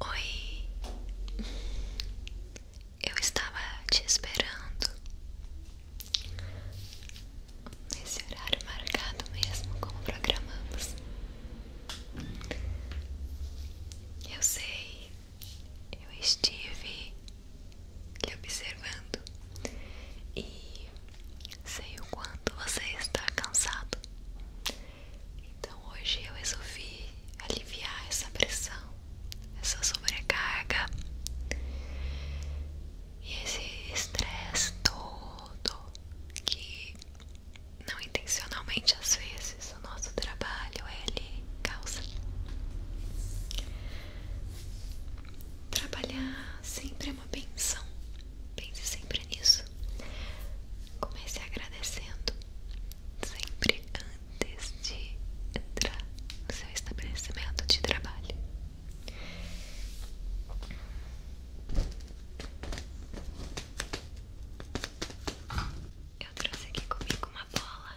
Oi, eu estava te esperando nesse horário marcado mesmo, como programamos. Eu sei, eu estive lhe observando e que sei o quanto você está cansado. Então hoje eu resolvi aliviar essa pressão, essa sobrecarga e esse estresse todo que não intencionalmente às vezes o nosso trabalho ele causa. Trabalhar sempre é uma benção. Pense sempre nisso. Comece agradecendo sempre antes de entrar no seu estabelecimento de trabalho. Eu trouxe aqui comigo uma bola.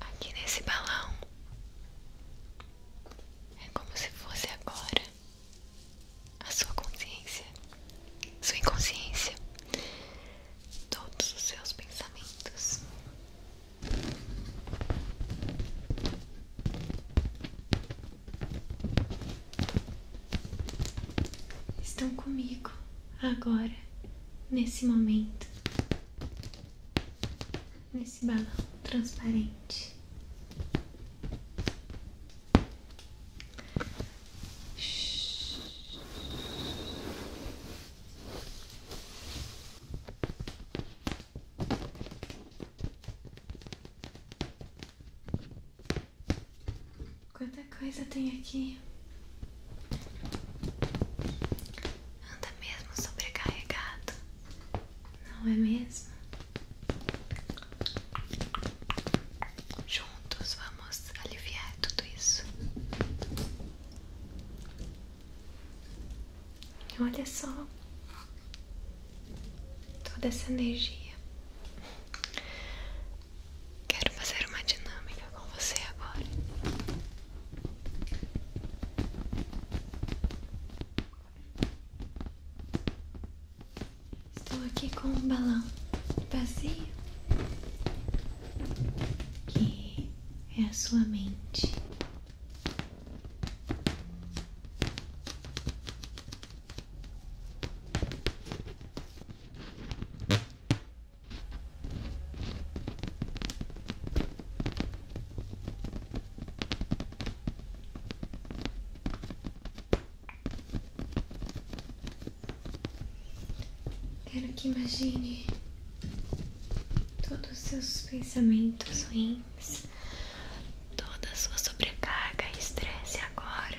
aqui nesse balão. É como se fosse agora a sua consciência, sua inconsciência, todos os seus pensamentos. Estão comigo agora nesse momento, nesse balão transparente. Quanta coisa tem aqui. Anda mesmo sobrecarregado, não é mesmo? Juntos vamos aliviar tudo isso. Olha só toda essa energia. Quero fazer uma dinâmica com você agora. Estou aqui com um balão vazio que é a sua mente. Quero que imagine todos os seus pensamentos ruins, toda sua sobrecarga e estresse agora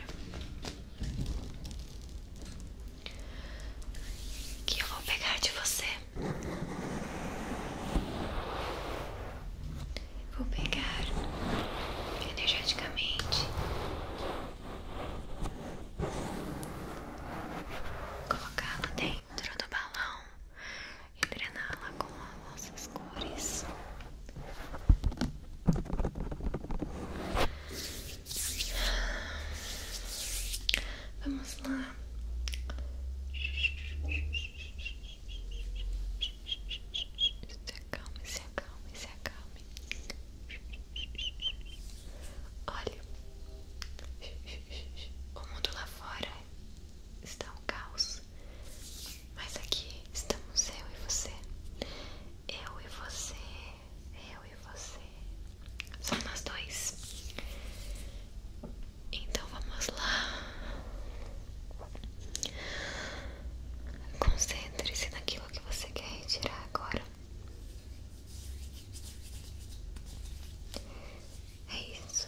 que eu vou pegar de você. Vou pegar energeticamente, colocá-la dentro do balão e drená-la com as nossas cores. Vamos lá. Se acalme, se acalme, se acalme. Olha, o mundo lá fora está um caos, mas aqui estamos eu e você. Eu e você eu e você. Só nós dois. Então vamos lá. Concentre-se naquilo que você quer retirar agora. É isso.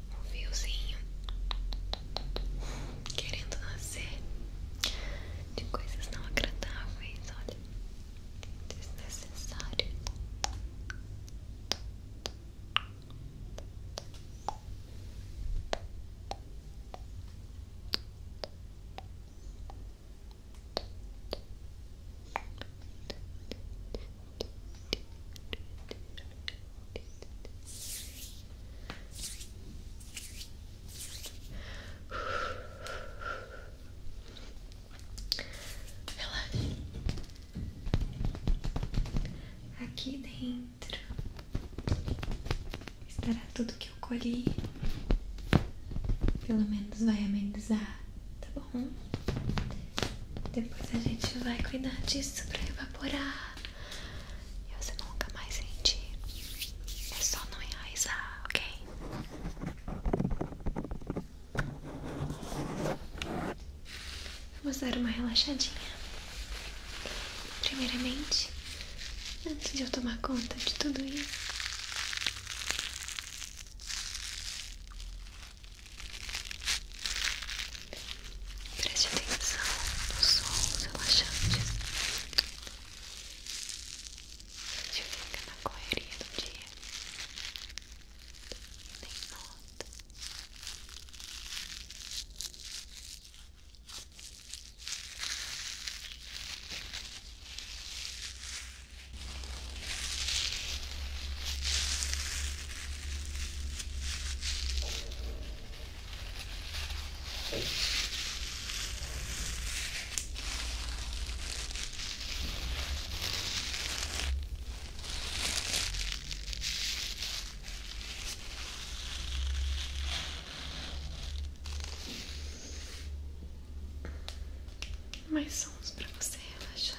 um fiozinho querendo nascer de coisas não agradáveis, olha, desnecessário. Tic, Relaxa. Aqui dentro estará tudo que eu colhi. Pelo menos vai amenizar, tá bom? Depois a gente vai cuidar disso pra evaporar e você nunca mais sentir. É só não realizar, ok? Vamos dar uma relaxadinha. Primeiramente, antes de eu tomar conta de tudo isso. Preste atenção nos som relaxantes a gente fica na correria do dia e nota mais sons para você relaxar.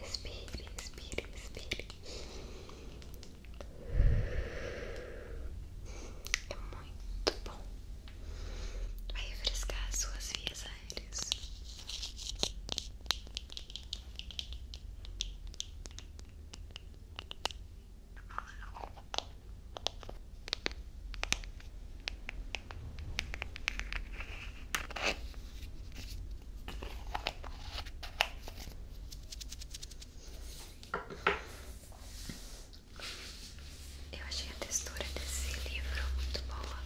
Respire, respire, respire. É muito bom. Vai refrescar as suas vias aéreas. Eu achei a textura desse livro muito boa,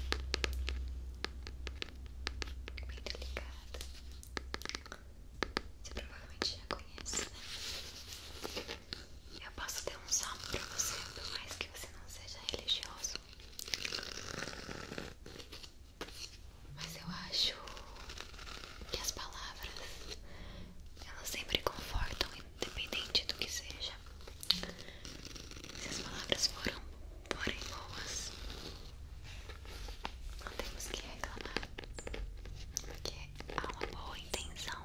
bem delicada. Você provavelmente já conhece, né? Eu posso ter um salmo pra você, por mais que você não seja religioso. Mas eu acho que as palavras elas sempre confortam, independente do que seja. Se as palavras foram, forem boas, não temos que reclamar, porque há uma boa intenção.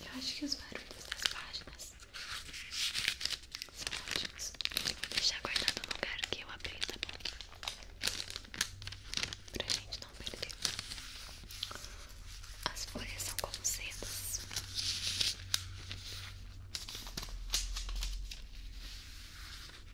Eu acho que os barulhos das páginas são ótimos. Vou deixar guardado no lugar que eu abri, tá bom? Pra gente não perder. As folhas são como sedas.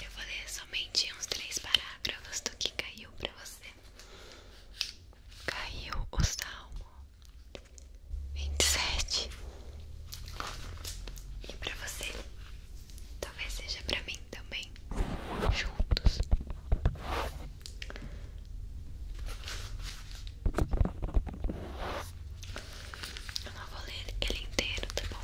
Eu vou ler somente uns três parágrafos do que caiu para você. Caiu o Salmo 27. E para você? Talvez seja para mim também. Juntos. Eu não vou ler ele inteiro, tá bom?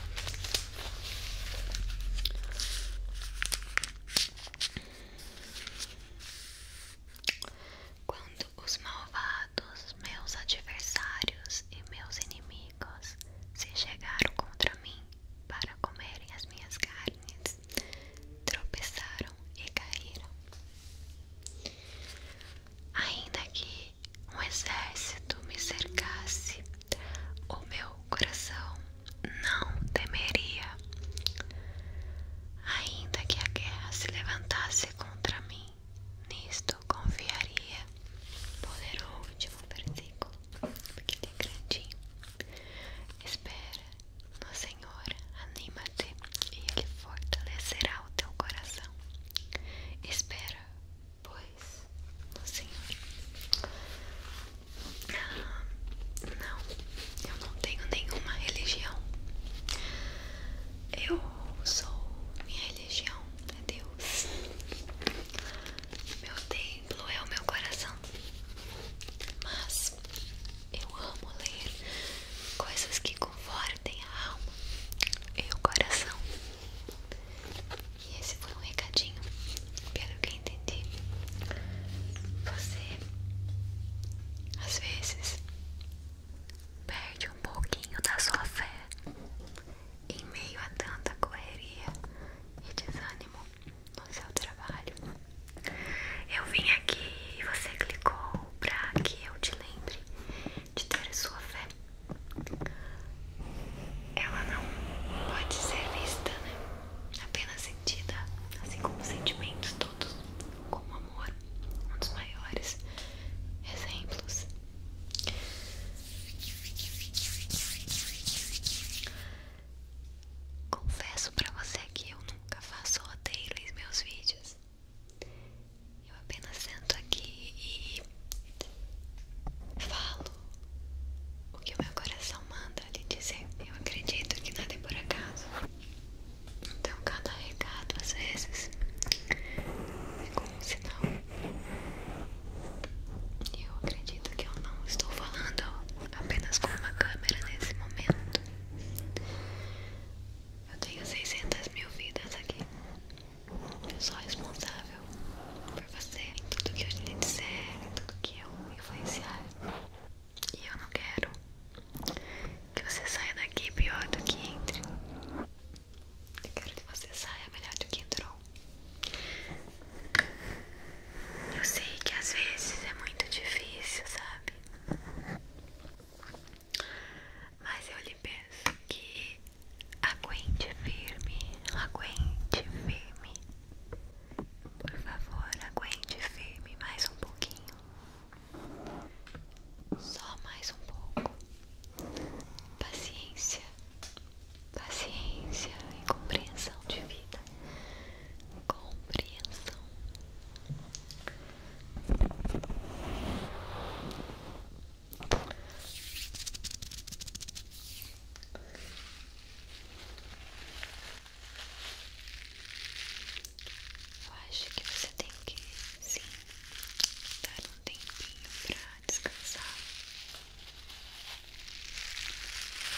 Quando os malvados, meus adversários e meus inimigos se chegaram contra mim para comerem as minhas carnes, tropeçaram e caíram. Ainda que um exército me cercasse, o meu coração não temeria. Ainda que a guerra se levantasse contra mim, nisto confiaria. Poderoso ler o último versículo, porque ele é Espera no Senhor, anima-te e Ele fortalecerá o teu coração. Espera, pois, no Senhor. Ah, não, eu não tenho nenhuma religião. Eu sou, minha religião é Deus. Meu templo é o meu coração. Mas eu amo ler coisas que confortem a alma e o coração. E esse foi um recadinho, pelo que entendi. Você às vezes perde um pouquinho da sua fé em meio a tanta correria e desânimo no seu trabalho. Eu vim aqui e você clicou pra que eu te lembre de ter sua fé. Ela não pode ser vista, né? Apenas sentida, assim como sentimentos todos, como amor, um dos maiores exemplos. Confesso pra você que eu nunca faço roteiro em meus vídeos. Eu apenas sento aqui e falo o que o meu coração manda lhe dizer. Eu acredito que nada é por acaso. Então, cada recado às vezes é como um sinal. Eu acredito que eu não estou falando apenas com uma câmera nesse momento. Eu tenho 600 mil vidas aqui. Eu sou responsável por você, em tudo que eu te disser, em tudo que eu influenciar. E eu não quero que você saia daqui pior do que entre. Eu quero que você saia melhor do que entrou. Eu sei que às vezes é muito difícil, sabe? Mas eu lhe peço que aguente firme, aguente firme. Por favor, aguente firme mais um pouquinho. Só mais um pouco. Paciência, paciência e compreensão de vida. Compreensão. Eu acho que você tem que sim dar um tempinho para descansar.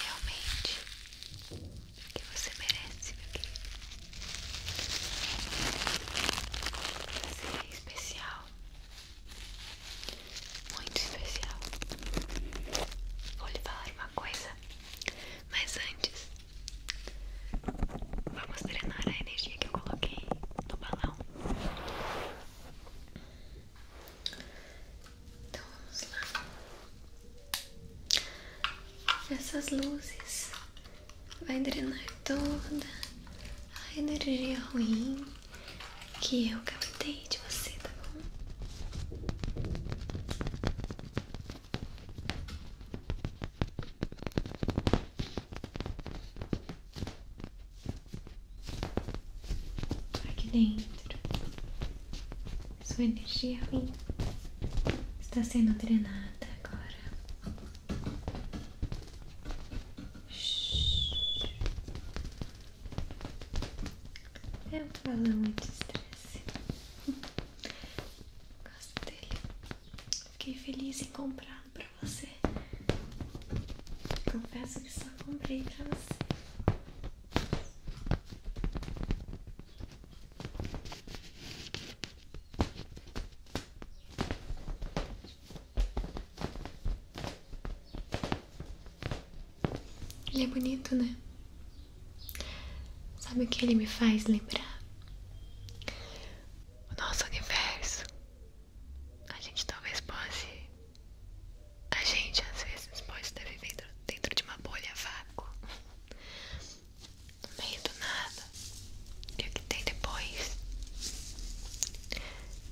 Realmente que você merece, meu querido. Você é especial, muito especial. Vou lhe falar uma coisa, mas antes, vamos treinar a energia que eu coloquei no balão. Então vamos lá. Essas luzes vai drenar toda a energia ruim que eu captei de você, tá bom? Tá aqui dentro, sua energia ruim está sendo drenada agora eu um muito anti-estresse. Gosto dele. Fiquei feliz em comprar pra você. Confesso que só comprei pra você. Ele é bonito, né? Sabe o que ele me faz lembrar? O nosso universo. A gente talvez possa. A gente às vezes pode estar vivendo dentro de uma bolha vácuo no meio do nada. E o é que tem depois?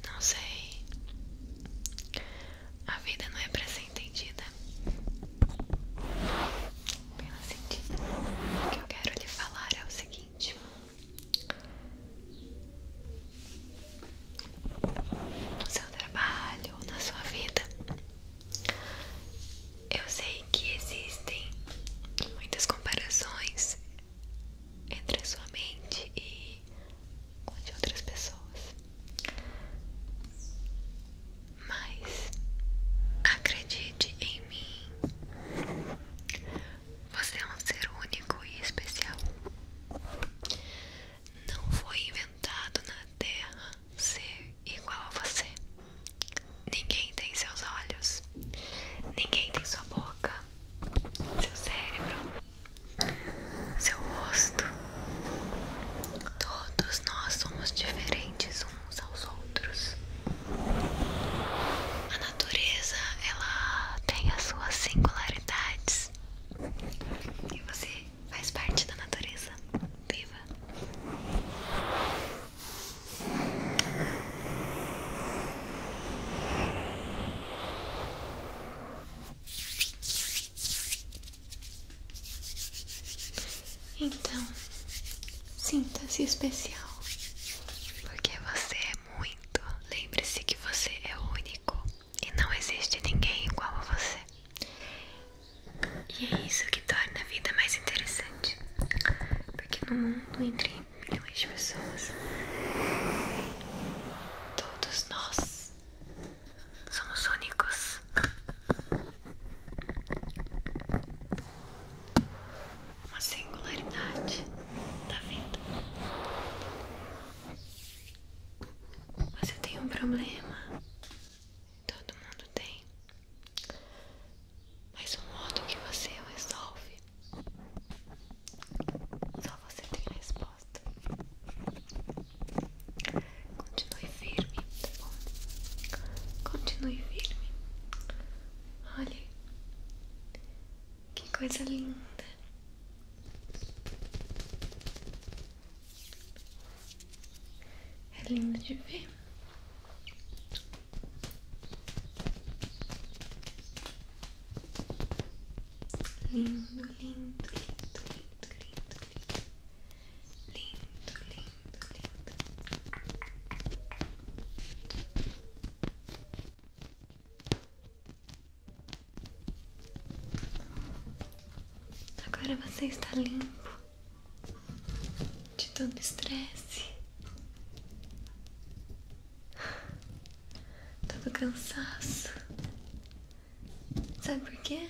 Não sei. A vida não é para ser entendida. Pela sentido. O que eu quero lhe falar é o seguinte. No seu trabalho ou na sua vida, eu sei que existem muitas comparações entre a sua mente e com de outras pessoas, mas acredite em mim. Você é um ser único e especial. Não foi inventado na Terra ser igual a você. Ninguém tem seus olhos, ninguém tem sua boca, seu cérebro, seu rosto. Todos nós somos diferentes uns aos outros. A natureza, ela tem as suas singularidades. E você faz parte da natureza. Viva! Então, sinta-se especial, porque você é muito. Lembre-se que você é único e não existe ninguém igual a você. E é isso que torna a vida mais interessante no mundo entre milhões de pessoas. Todos nós somos únicos. Uma singularidade da vida. Você tem um problema. Todo mundo tem mas o modo que você resolve, só você tem a resposta. Continue firme, tá bom? Continue firme. Olha, que coisa linda. É lindo de ver. Lindo, lindo, lindo, lindo, lindo, lindo, lindo, lindo, lindo. Agora você está limpo de tanto estresse, todo cansaço. Sabe por quê?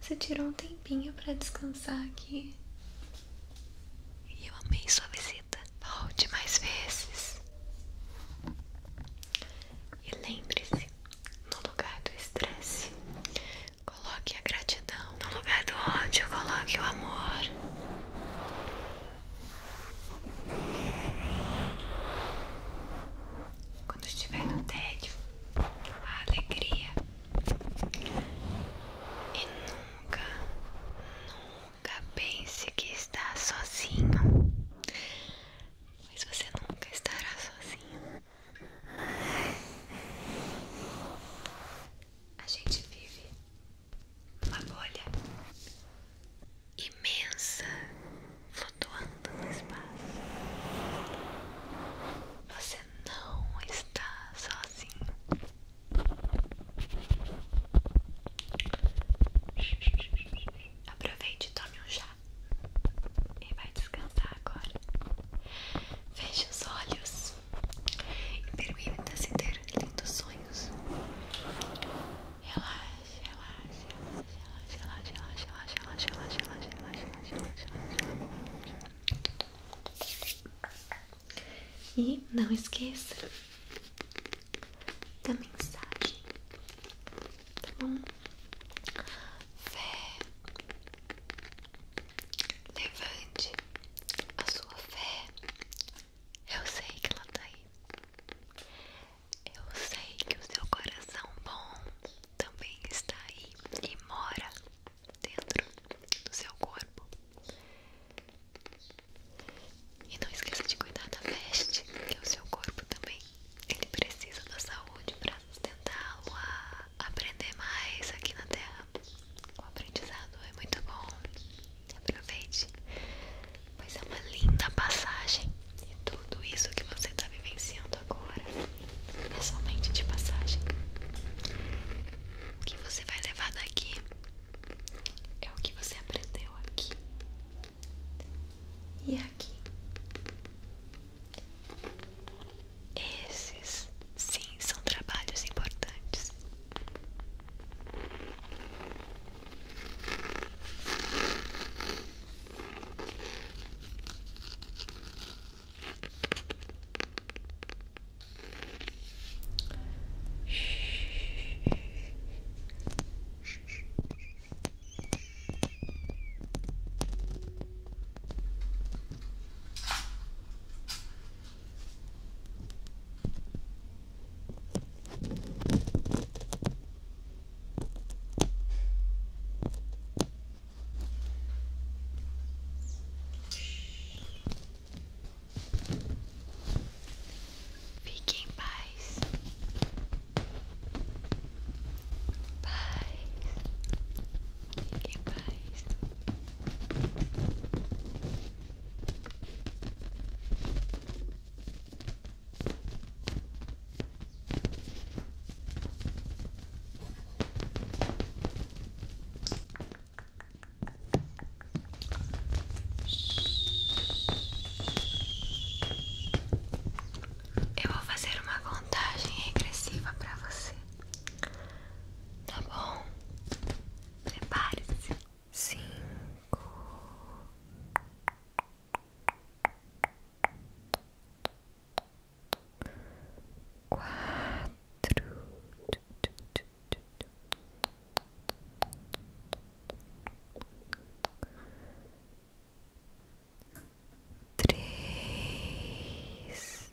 Você tirou um tempinho para descansar aqui. E eu amei sua visita. Volte mais vezes. E lembre-se, no lugar do estresse, coloque a gratidão. No lugar do ódio, coloque o amor. Quando estiver no tédio, a alegria. E nunca, nunca pense que está sozinho. Mas você nunca estará sozinho. A gente vive uma bolha imensa flutuando no espaço. Você não está sozinho. Aproveite e tome um chá. E vai descansar agora. veja os olhos e permita-se ter lindos sonhos. Relaxa, relaxa, relaxa, relaxa, relaxa, relaxa, relaxa, relaxa, relaxa, relaxa, relaxa. E não esqueça da mensagem, tá bom? Fé, levante a sua fé, eu sei que ela tá aí. Eu sei que o seu coração bom também está aí e mora dentro do seu corpo. E não esqueça de cuidar da veste, que o seu corpo também. Ele precisa da saúde para sustentá-lo a aprender mais aqui na Terra. O aprendizado é muito bom. Aproveite, pois é uma linda passagem. E tudo isso que você está vivenciando agora é somente de passagem. O que você vai levar daqui é o que você aprendeu aqui e aqui. Esses Sim, são trabalhos importantes. fiquem em paz. Paz. fiquem em paz. Eu vou fazer uma contagem regressiva para você. Tá bom? Prepare-se cinco, quatro, três.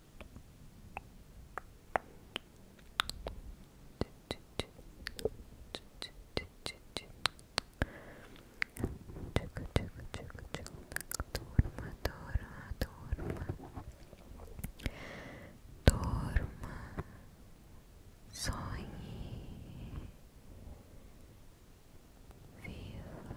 Turma, turma, turma, turma, sonhe, viva,